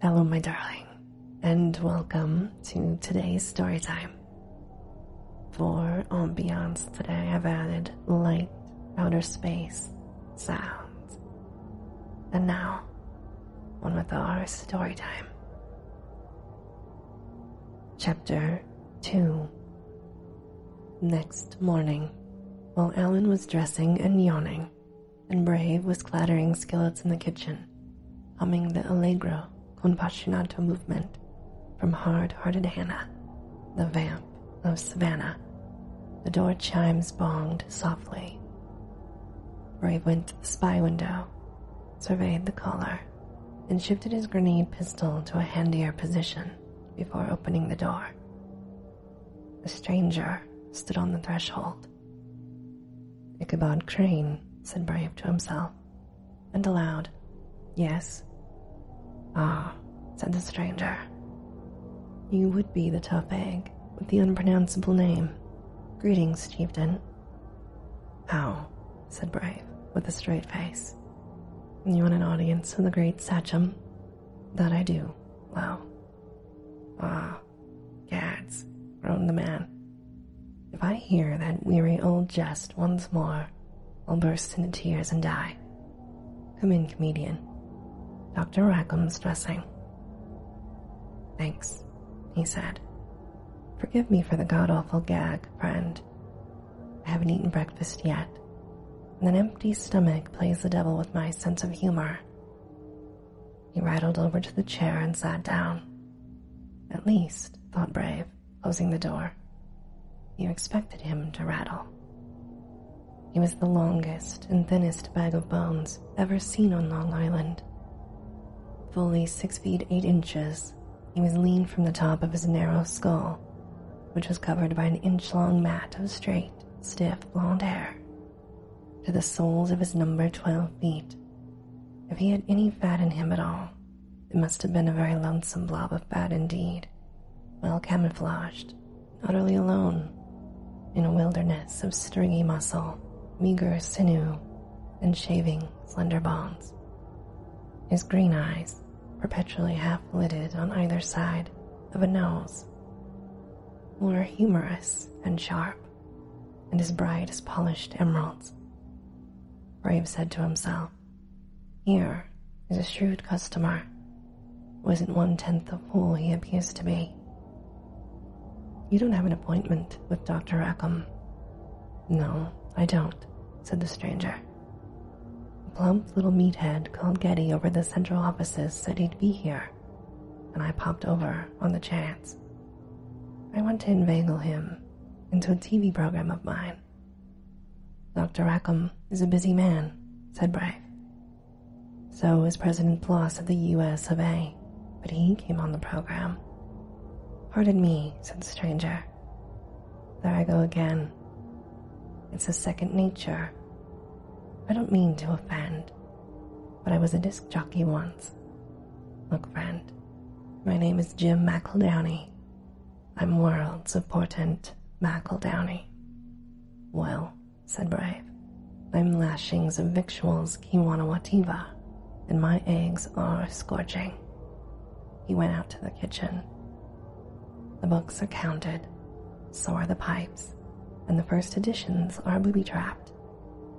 Hello, my darling, and welcome to today's story time. For ambiance, today I've added light outer space sounds. And now, on with our story time. Chapter 2 Next morning, while Alan was dressing and yawning, and brave was clattering skillets in the kitchen, humming the allegro compassionato movement from hard hearted Hannah, the vamp of Savannah. The door chimes bonged softly. Brave went to the spy window, surveyed the caller, and shifted his grenade pistol to a handier position before opening the door. The stranger stood on the threshold, Ichabod Crane, said Brave to himself, and aloud, Yes. Ah, said the stranger. You would be the tough egg with the unpronounceable name. Greetings, chieftain. How? said Brave, with a straight face. You want an audience with the great sachem? That I do, Lao. Ah, Gads, groaned the man. If I hear that weary old jest once more, I'll burst into tears and die. Come in, comedian. Dr. Rackham's dressing. Thanks, he said. Forgive me for the god awful gag, friend. I haven't eaten breakfast yet, and an empty stomach plays the devil with my sense of humor. He rattled over to the chair and sat down. At least, thought Brave, closing the door. You expected him to rattle. He was the longest and thinnest bag of bones ever seen on Long Island. Fully six feet eight inches, he was lean from the top of his narrow skull, which was covered by an inch long mat of straight, stiff blond hair to the soles of his number 12 feet. If he had any fat in him at all, it must have been a very lonesome blob of fat indeed, well camouflaged, utterly alone, in a wilderness of stringy muscle, meager sinew, and shaving, slender bones. His green eyes, perpetually half lidded on either side of a nose, more humorous and sharp, and as bright as polished emeralds. Brave said to himself, Here is a shrewd customer, wasn't one tenth of fool he appears to be. You don't have an appointment with Dr. Rackham. No, I don't, said the stranger. A plump little meathead called Getty over the central offices said he'd be here and I popped over on the chance. I went to inveigle him into a TV program of mine. Dr. Rackham is a busy man, said Brave. So is President Ploss of the US of A, but he came on the program. Pardon me, said the stranger. There I go again. It's a second nature. I don't mean to offend but I was a disc jockey once. Look, friend, my name is Jim McEldowney. I'm worlds of portent Downey. Well, said Brave, I'm lashings of victuals Kiwanawativa, and my eggs are scorching. He went out to the kitchen. The books are counted, so are the pipes, and the first editions are booby trapped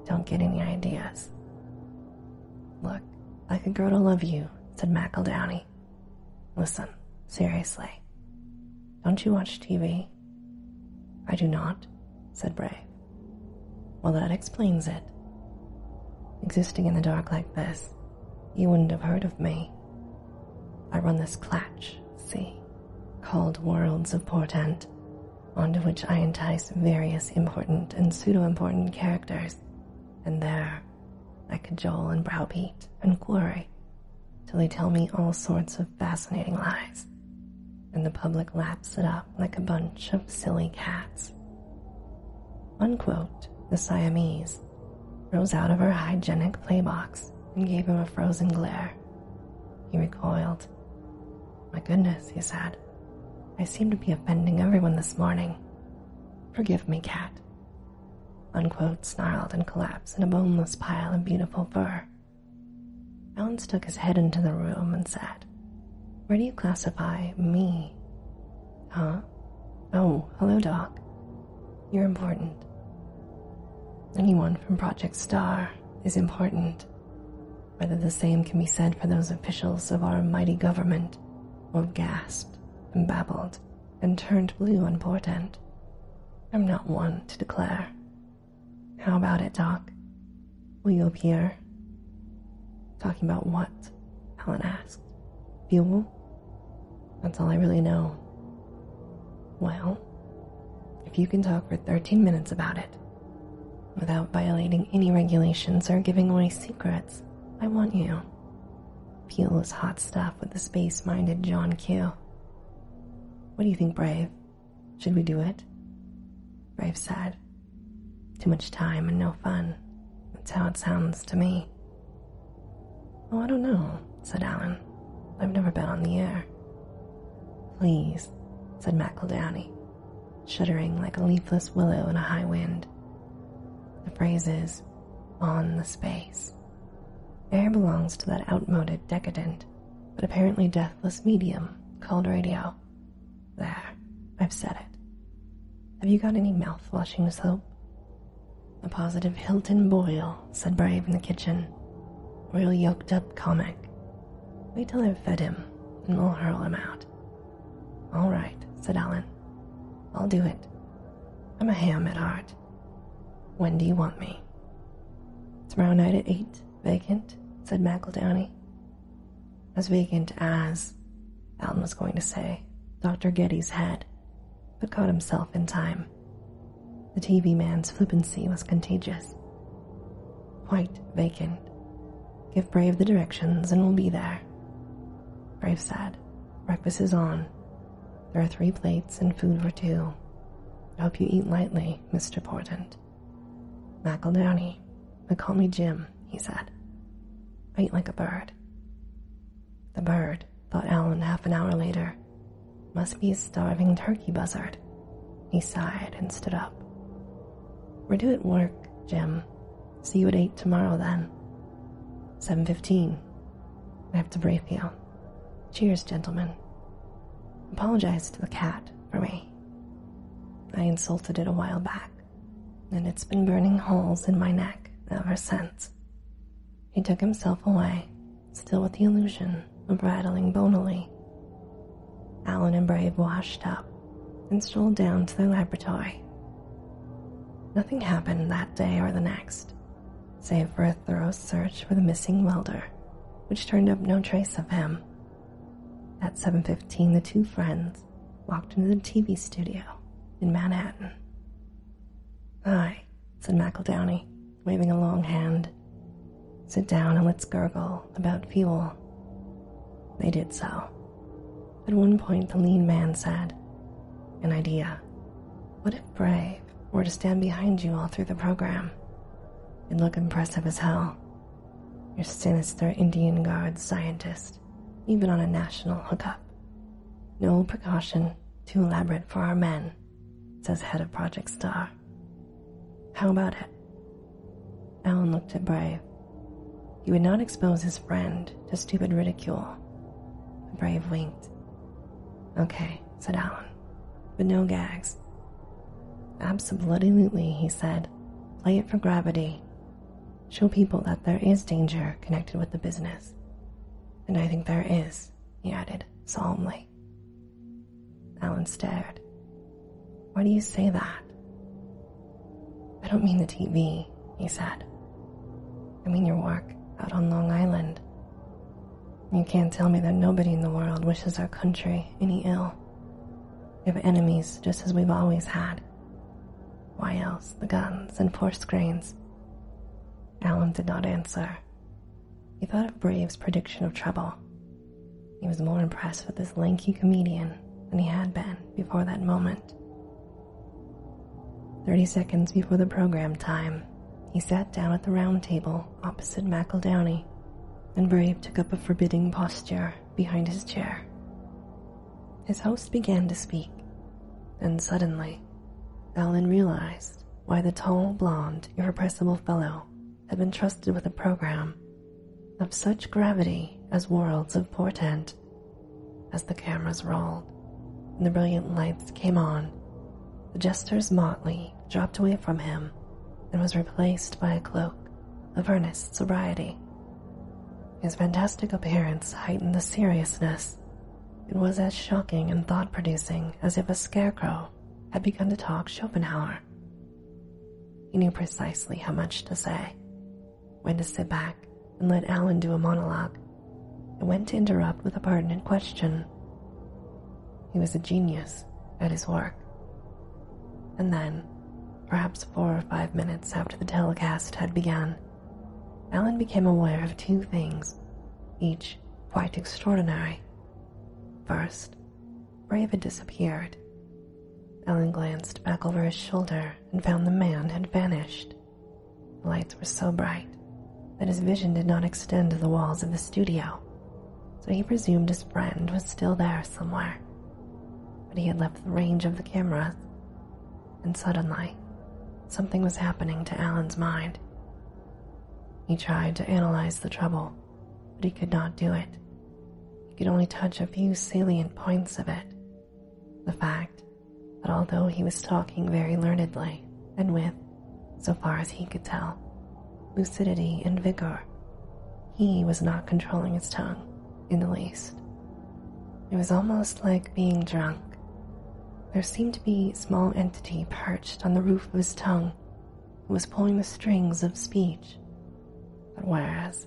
don't get any ideas. Look, I could grow to love you, said McEldowney. Listen, seriously. Don't you watch TV? I do not, said Bray. Well, that explains it. Existing in the dark like this, you wouldn't have heard of me. I run this clatch, see, called Worlds of Portent, onto which I entice various important and pseudo important characters, and there I cajole and browbeat and quarry till they tell me all sorts of fascinating lies, and the public laps it up like a bunch of silly cats. Unquote, the Siamese rose out of her hygienic play box and gave him a frozen glare. He recoiled my goodness, he said. I seem to be offending everyone this morning. Forgive me, cat. Unquote snarled and collapsed in a boneless pile of beautiful fur. Bounce stuck his head into the room and said, Where do you classify me? Huh? Oh, hello, Doc. You're important. Anyone from Project Star is important. Whether the same can be said for those officials of our mighty government, or gasped and babbled and turned blue on portent, I'm not one to declare. How about it, Doc? Will you appear? Talking about what? Helen asked. Fuel? That's all I really know. Well, if you can talk for 13 minutes about it, Without violating any regulations or giving away secrets, I want you. Peel this hot stuff with the space minded John Q. What do you think, Brave? Should we do it? Brave said. Too much time and no fun. That's how it sounds to me. Oh, I don't know, said Alan. I've never been on the air. Please, said McIldowney, shuddering like a leafless willow in a high wind. The phrase is, on the space. Air belongs to that outmoded, decadent, but apparently deathless medium called radio. There, I've said it. Have you got any mouth flushing soap? A positive Hilton Boyle, said Brave in the kitchen. Real yoked up comic, Wait till I've fed him, and we'll hurl him out. All right, said Alan. I'll do it. I'm a ham at heart. When do you want me? Tomorrow night at eight, vacant, said McEldowney. As vacant as, Alan was going to say, Dr. Getty's head, but caught himself in time. The TV man's flippancy was contagious, Quite vacant. Give Brave the directions and we'll be there. Brave said, Breakfast is on. There are three plates and food for two. I hope you eat lightly, Mr. Portant." McEldowney, but call me Jim, he said. I eat like a bird. The bird, thought Alan half an hour later, must be a starving turkey buzzard. He sighed and stood up. We're due at work, Jim. See you at eight tomorrow then. Seven fifteen. I have to brief you. Cheers, gentlemen. Apologize to the cat for me. I insulted it a while back, and it's been burning holes in my neck ever since. He took himself away, still with the illusion form of rattling bonily. Alan and Brave washed up and strolled down to their laboratory. Nothing happened that day or the next, save for a thorough search for the missing welder, which turned up no trace of him. At 7:15, the two friends walked into the TV studio in Manhattan. "Hi," said McEldowney, waving a long hand. Sit down and let's gurgle about fuel. They did so. At one point, the lean man said, An idea. What if Bray were to stand behind you all through the program? and look impressive as hell. Your sinister Indian guard scientist, even on a national hookup. No precaution too elaborate for our men, says head of Project Star. How about it? Alan looked at Brave. He would not expose his friend to stupid ridicule. Brave winked. Okay, said Alan, but no gags. Absolutely, he said. Play it for gravity. Show people that there is danger connected with the business. And I think there is, he added solemnly. Alan stared. Why do you say that? I don't mean the TV, he said. I mean your work out on Long Island. You can't tell me that nobody in the world wishes our country any ill. We have enemies just as we've always had. Why else the guns and force grains? Alan did not answer. He thought of Brave's prediction of trouble he was more impressed with this lanky comedian than he had been before that moment. Thirty seconds before the program time, he sat down at the round table opposite Downey, and Brave took up a forbidding posture behind his chair. His host began to speak, and suddenly, Alan realized why the tall, blond, irrepressible fellow had been trusted with a program of such gravity as worlds of portent. As the cameras rolled and the brilliant lights came on, the jester's motley dropped away from him and was replaced by a cloak of earnest sobriety. His fantastic appearance heightened the seriousness. It was as shocking and thought producing as if a scarecrow had begun to talk Schopenhauer he knew precisely how much to say, when to sit back and let Alan do a monologue, and when to interrupt with a pertinent question. He was a genius at his work. And then, perhaps four or five minutes after the telecast had begun, Alan became aware of two things, each quite extraordinary. First, Brave had disappeared. Ellen glanced back over his shoulder and found the man had vanished. The lights were so bright that his vision did not extend to the walls of the studio, so he presumed his friend was still there somewhere. But he had left the range of the cameras, and suddenly, something was happening to Alan's mind. He tried to analyze the trouble but he could not do it. He could only touch a few salient points of it. The fact that although he was talking very learnedly and with, so far as he could tell, lucidity and vigor, he was not controlling his tongue in the least. It was almost like being drunk. There seemed to be a small entity perched on the roof of his tongue was pulling the strings of speech. But whereas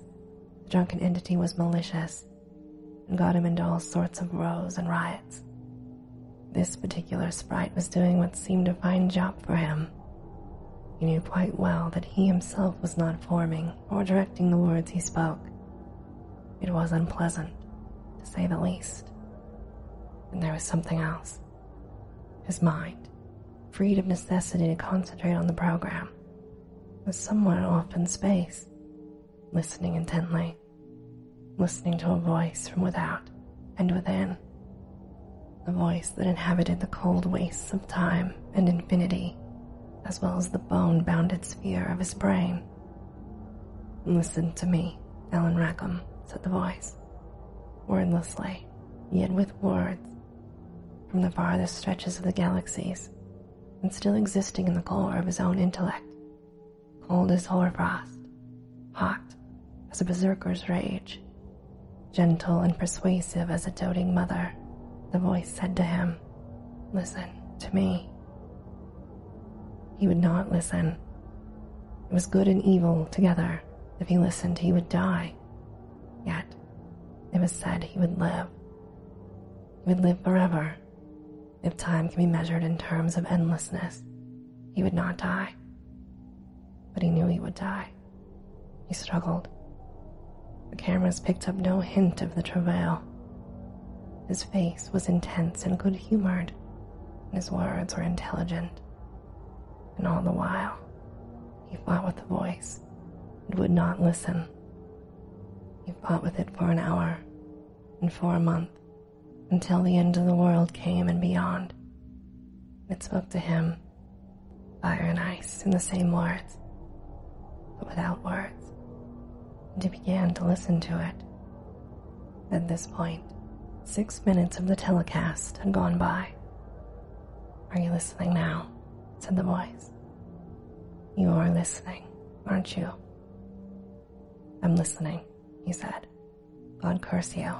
the drunken entity was malicious and got him into all sorts of rows and riots, this particular sprite was doing what seemed a fine job for him. He knew quite well that he himself was not forming or directing the words he spoke. It was unpleasant, to say the least. And there was something else his mind, freed of necessity to concentrate on the program, with somewhat in space, listening intently, listening to a voice from without and within, the voice that inhabited the cold wastes of time and infinity, as well as the bone bounded sphere of his brain. Listen to me, Ellen Rackham, said the voice, wordlessly, yet with words from the farthest stretches of the galaxies, and still existing in the core of his own intellect, cold as hoarfrost, hot as a berserker's rage, gentle and persuasive as a doting mother, the voice said to him, Listen to me. He would not listen. It was good and evil together. If he listened, he would die. Yet, it was said he would live. He would live forever. If time can be measured in terms of endlessness, he would not die. But he knew he would die. He struggled. The cameras picked up no hint of the travail. His face was intense and good humored, and his words were intelligent. And all the while, he fought with the voice. and would not listen. He fought with it for an hour, and for a month, until the end of the world came and beyond. It spoke to him, fire and ice, in the same words, but without words. And he began to listen to it. At this point, six minutes of the telecast had gone by. Are you listening now? said the voice. You are listening, aren't you? I'm listening, he said. God curse you.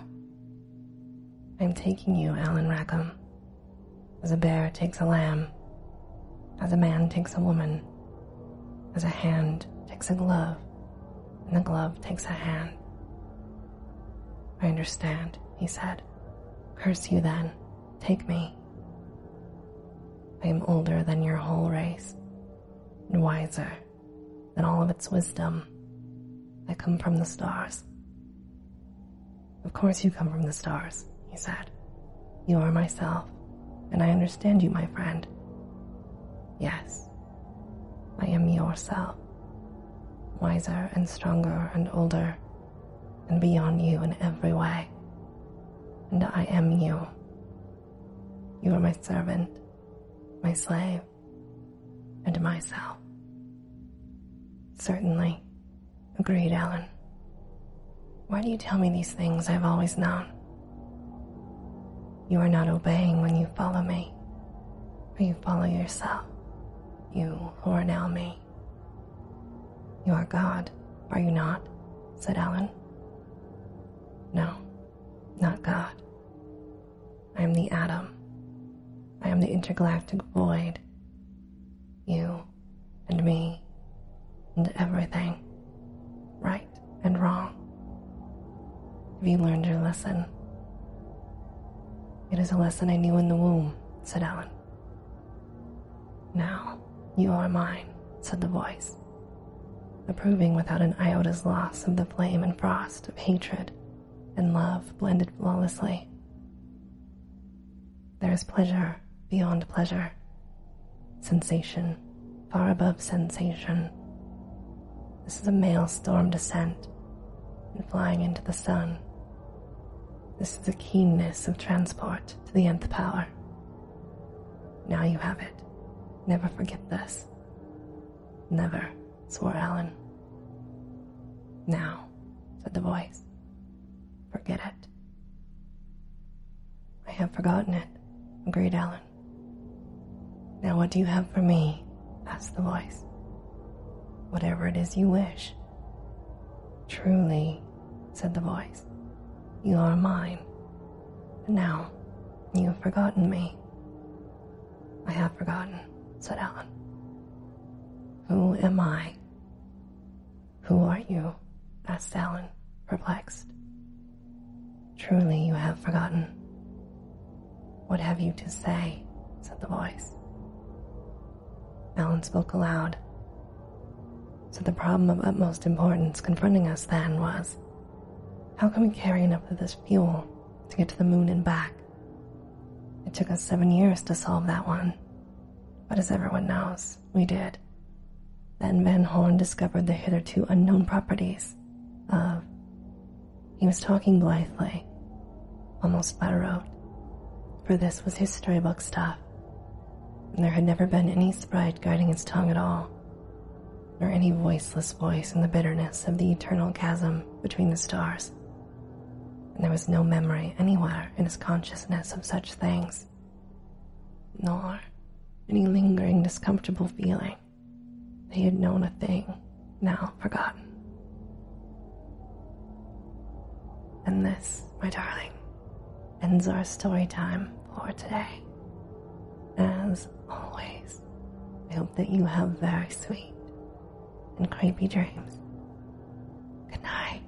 I'm taking you, Alan Rackham. As a bear takes a lamb, as a man takes a woman, as a hand takes a glove, and the glove takes a hand. I understand, he said. Curse you then, take me. I am older than your whole race, and wiser than all of its wisdom. I come from the stars. Of course, you come from the stars, he said. You are myself, and I understand you, my friend. Yes, I am yourself, wiser and stronger and older and beyond you in every way. And I am you. You are my servant, my slave, and myself. Certainly, agreed Alan. Why do you tell me these things I've always known? You are not obeying when you follow me, or you follow yourself. You, who are now me. You are God, are you not? said Alan. No, not God. I am the atom. I am the intergalactic void. You and me and everything, right and wrong. Have you learned your lesson? It is a lesson I knew in the womb, said Ellen. Now, you are mine, said the voice, approving without an iota's loss of the flame and frost of hatred and love blended flawlessly. There is pleasure beyond pleasure, sensation far above sensation. This is a maelstrom descent and flying into the sun this is the keenness of transport to the nth power. Now you have it. Never forget this. Never, swore Alan. Now, said the voice, forget it. I have forgotten it, agreed Alan. Now, what do you have for me? Asked the voice. Whatever it is you wish. Truly, said the voice, you are mine. And now, you have forgotten me. I have forgotten, said Alan. Who am I? Who are you? asked Alan, perplexed. Truly, you have forgotten. What have you to say? said the voice. Alan spoke aloud. So the problem of utmost importance confronting us then was how can we carry enough of this fuel to get to the moon and back? It took us seven years to solve that one. But as everyone knows, we did. Then Van Horn discovered the hitherto unknown properties of. He was talking blithely, almost flat road, for this was his storybook stuff, and there had never been any sprite guiding his tongue at all, nor any voiceless voice in the bitterness of the eternal chasm between the stars. And there was no memory anywhere in his consciousness of such things, nor any lingering discomfortable feeling. that he had known a thing now forgotten. And this, my darling, ends our story time for today. As always, I hope that you have very sweet and creepy dreams. Good night.